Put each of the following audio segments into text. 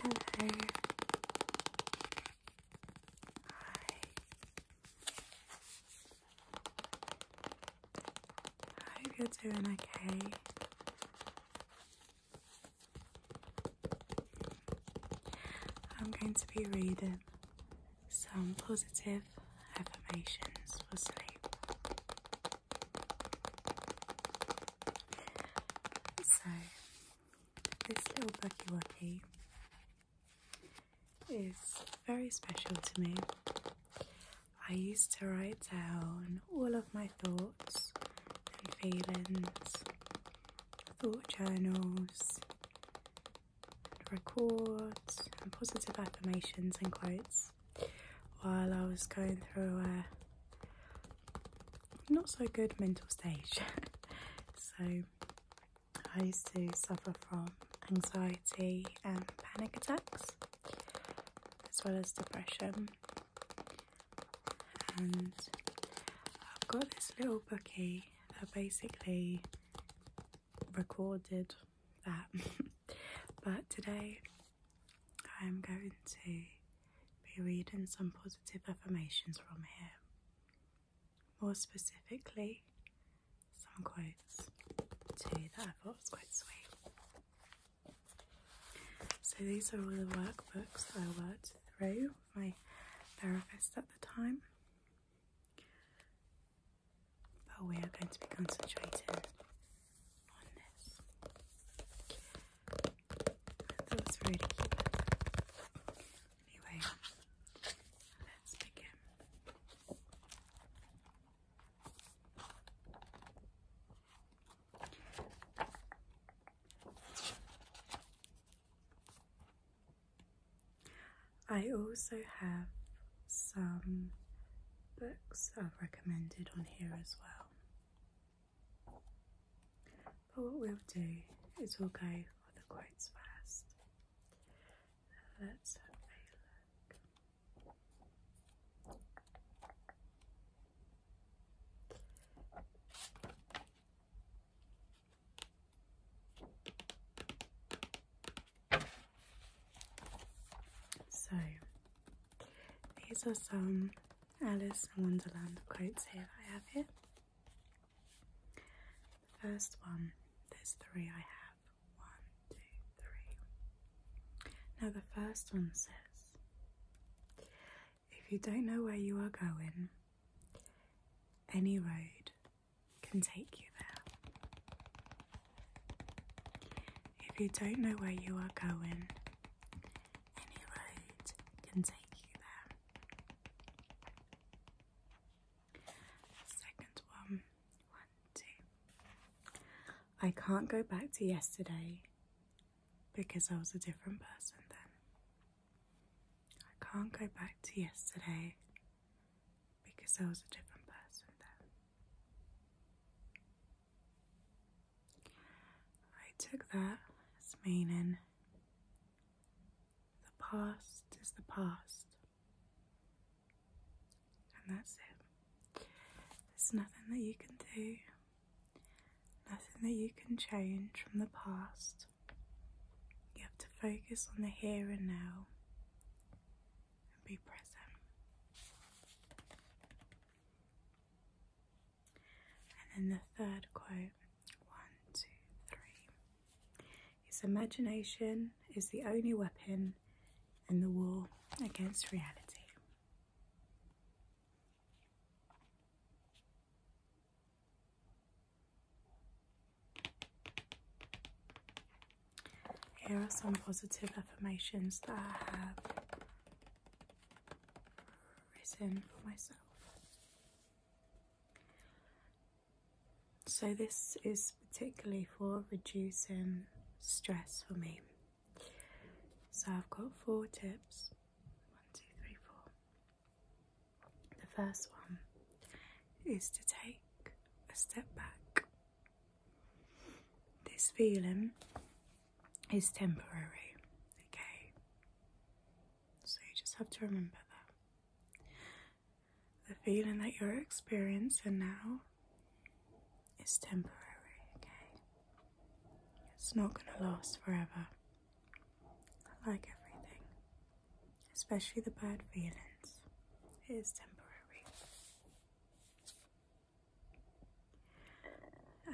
Hello. Hi. I hope you doing okay. I'm going to be reading some positive affirmations for sleep. So, this little Bucky Wucky is very special to me. I used to write down all of my thoughts and feelings, thought journals, Record and positive affirmations and quotes while I was going through a not so good mental stage. so I used to suffer from anxiety and panic attacks as well as depression and I've got this little bookie that basically recorded that but today I'm going to be reading some positive affirmations from here more specifically some quotes too that I thought was quite sweet so these are all the workbooks I worked through my therapist at the time but oh, we are going to be concentrating on this. I was really Anyway, let's begin. I also have some books I've recommended on here as well. But what we'll do is we'll go for the quotes first. Let's have a look. So, these are some Alice in Wonderland quotes here that I have here. The first one, there's three I have. One, two, three. Now, the first one says, If you don't know where you are going, any road can take you there. If you don't know where you are going, any road can take you there. Second one, one, two. I can't go back to yesterday because I was a different person then. I can't go back to yesterday because I was a different person then. I took that as meaning the past is the past, and that's it. There's nothing that you can do, nothing that you can change from the past. You have to focus on the here and now and be present. And then the third quote one, two, three. His imagination is the only weapon in the war against reality. Here are some positive affirmations that I have written for myself. So, this is particularly for reducing stress for me. So, I've got four tips one, two, three, four. The first one is to take a step back. This feeling is temporary, okay? So you just have to remember that. The feeling that you're experiencing now is temporary, okay? It's not going to last forever, like everything especially the bad feelings. It is temporary.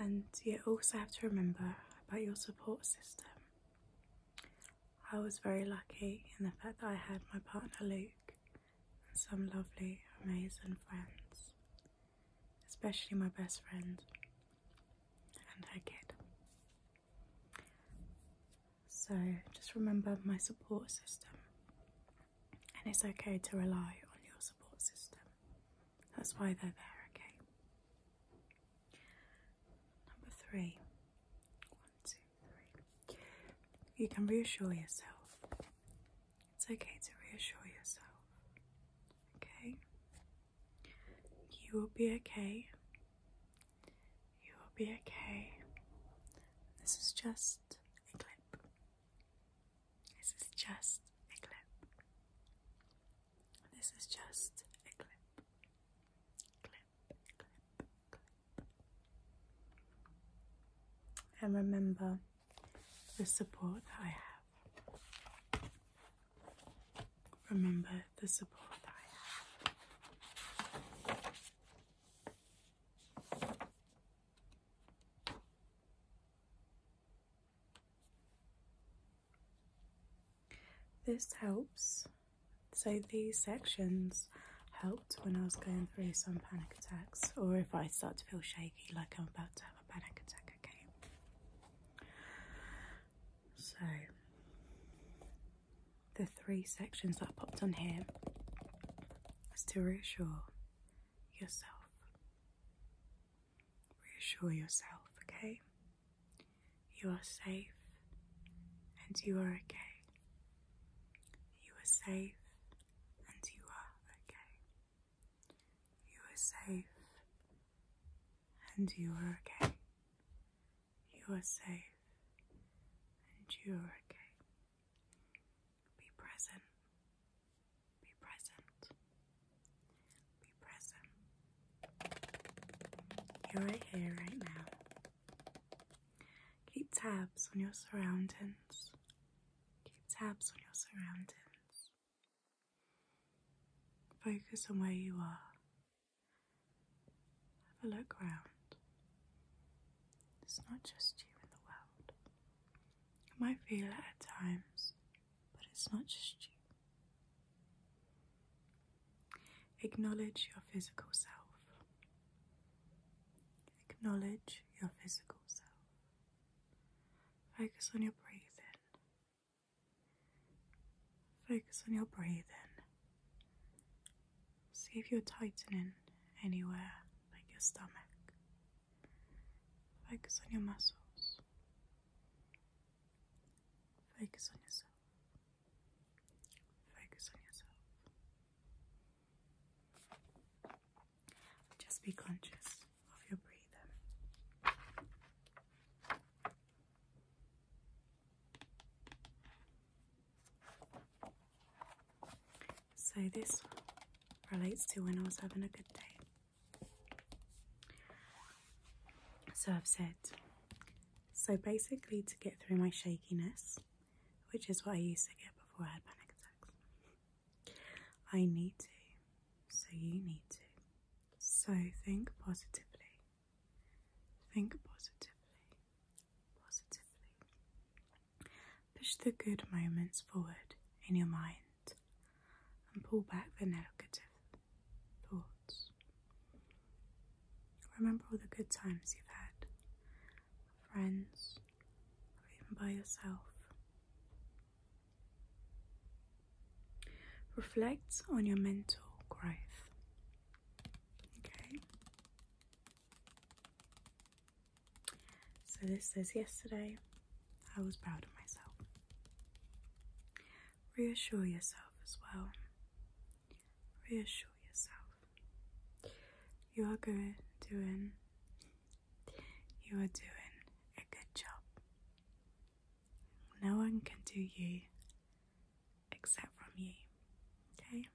And you also have to remember about your support system. I was very lucky in the fact that I had my partner Luke and some lovely, amazing friends, especially my best friend and her kid. So just remember my support system. And it's okay to rely on your support system. That's why they're there, okay? Number three. One, You can reassure yourself. It's okay to reassure yourself. Okay? You will be okay. You will be okay. This is just a clip. This is just a clip. This is just a clip. Clip, clip, clip. And remember the support that I have. Remember the support that I have. This helps. So these sections helped when I was going through some panic attacks or if I start to feel shaky like I'm about to have a panic attack, okay? So the three sections that popped on here is to reassure yourself. Reassure yourself, okay? You are safe and you are okay. You are safe and you are okay. You are safe and you are okay. You are safe and you are okay. Be present. Be present. Be present. You're here, right now. Keep tabs on your surroundings. Keep tabs on your surroundings. Focus on where you are. Have a look round. It's not just you in the world. You might feel it at times, but it's not just you. Acknowledge your physical self. Acknowledge your physical self. Focus on your breathing. Focus on your breathing. See if you're tightening anywhere, like your stomach. Focus on your muscles. Focus on yourself. Focus on yourself. Just be conscious of your breathing. So this relates to when I was having a good day. So I've said, so basically to get through my shakiness, which is what I used to get before I had panic attacks, I need to, so you need to. So think positively. Think positively. Positively. Push the good moments forward in your mind and pull back the negative thoughts. Remember all the good times you've had, friends, or even by yourself. Reflect on your mental growth Okay. So this says yesterday I was proud of myself. Reassure yourself as well. Reassure yourself. You are good doing you are doing a good job. No one can do you except from you. Okay?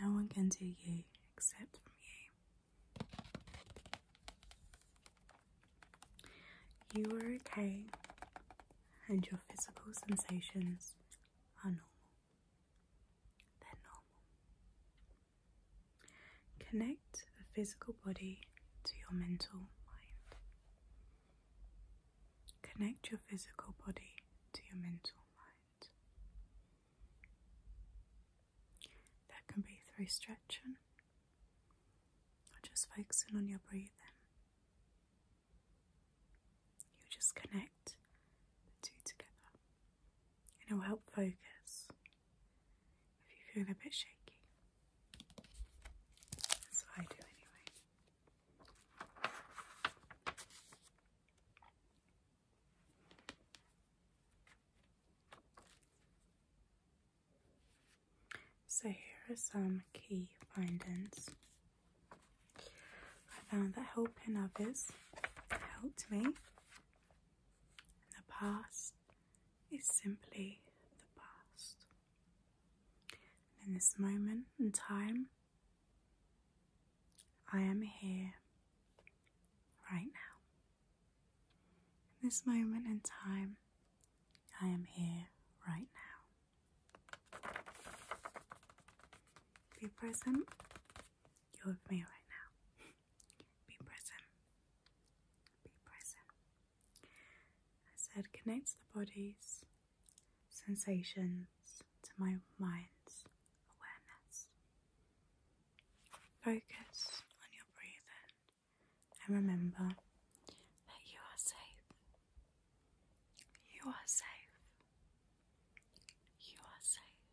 No one can do you except from you. You are okay, and your physical sensations are normal. They're normal. Connect the physical body to your mental mind. Connect your physical body to your mental mind. That can be through stretching or just focusing on your breathing. You just connect the two together and it will help focus if you feel a bit shaky. That's I do anyway. So, here are some key findings. I found that helping others helped me. the past is simply the past in this moment in time, I am here right now. In this moment in time, I am here right now. Be present. You're with me right now. Be present. Be present. As head connects the body's sensations to my mind's awareness. Focus on your breathing and remember that you are safe. You are safe. You are safe.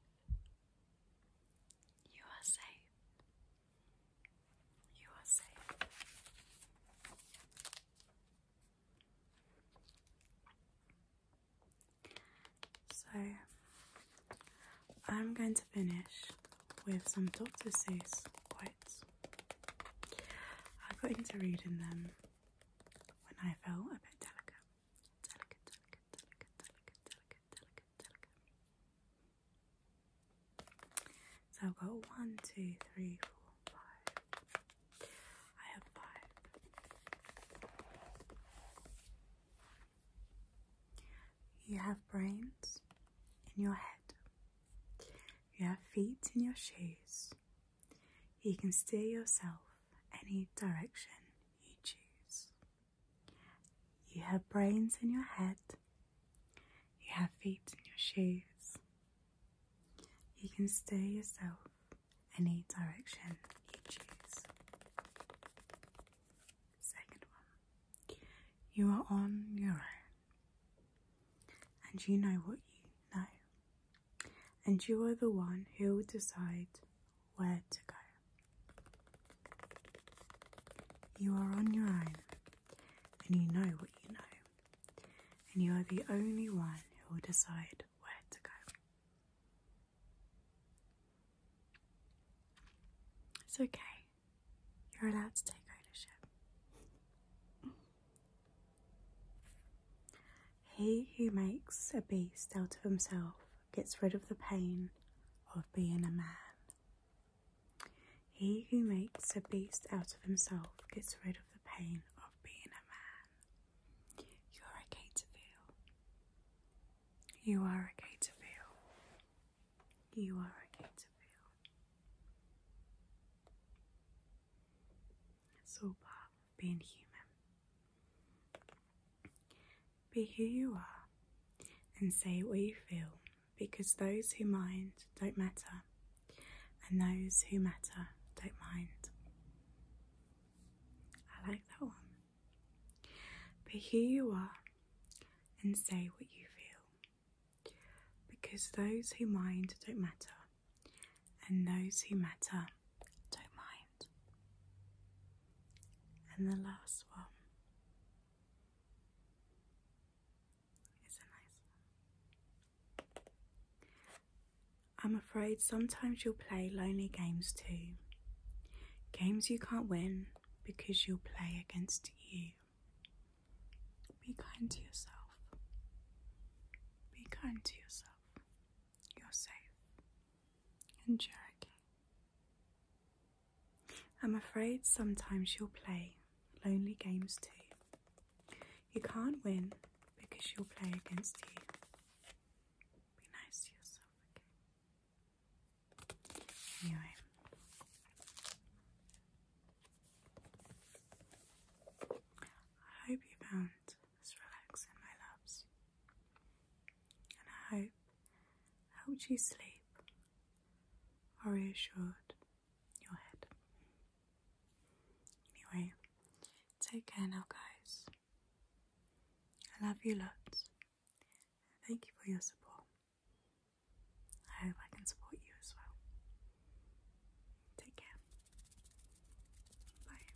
You are safe. You are safe. So I'm going to finish with some Dr. Seuss quotes. I got into reading them when I felt a bit delicate. Delicate, delicate, delicate, delicate, delicate, delicate, delicate. So I've got one, two, three, four, five. I have five. You have brains in your head. You have feet in your shoes. You can steer yourself any direction you choose. You have brains in your head you have feet in your shoes. You can steer yourself any direction you choose. Second one, you are on your own and you know what you know, and you are the one who will decide where to go. You are on your own and you know what you know, and you are the only one who will decide where to go. It's okay, you're allowed to take ownership. He who makes a beast out of himself gets rid of the pain of being a man. He who makes a beast out of himself gets rid of the pain of being a man. You are okay to feel. You are okay to feel. You are a Caterfield. It's all part of being human. Be who you are and say what you feel because those who mind don't matter, and those who matter don't mind. I like that one. But here you are and say what you feel, because those who mind don't matter, and those who matter don't mind. And the last one. I'm afraid sometimes you'll play lonely games too. Games you can't win because you'll play against you. Be kind to yourself. Be kind to yourself. You're safe. And you I'm afraid sometimes you'll play lonely games too. You can't win because you'll play against you. Be nice to yourself, Anyway. I hope you found this relaxing, my loves. And I hope helped you sleep or reassured your head. Anyway, take care now, guys. I love you lots. Thank you for your support. I hope I can support you as well. Take care. Bye.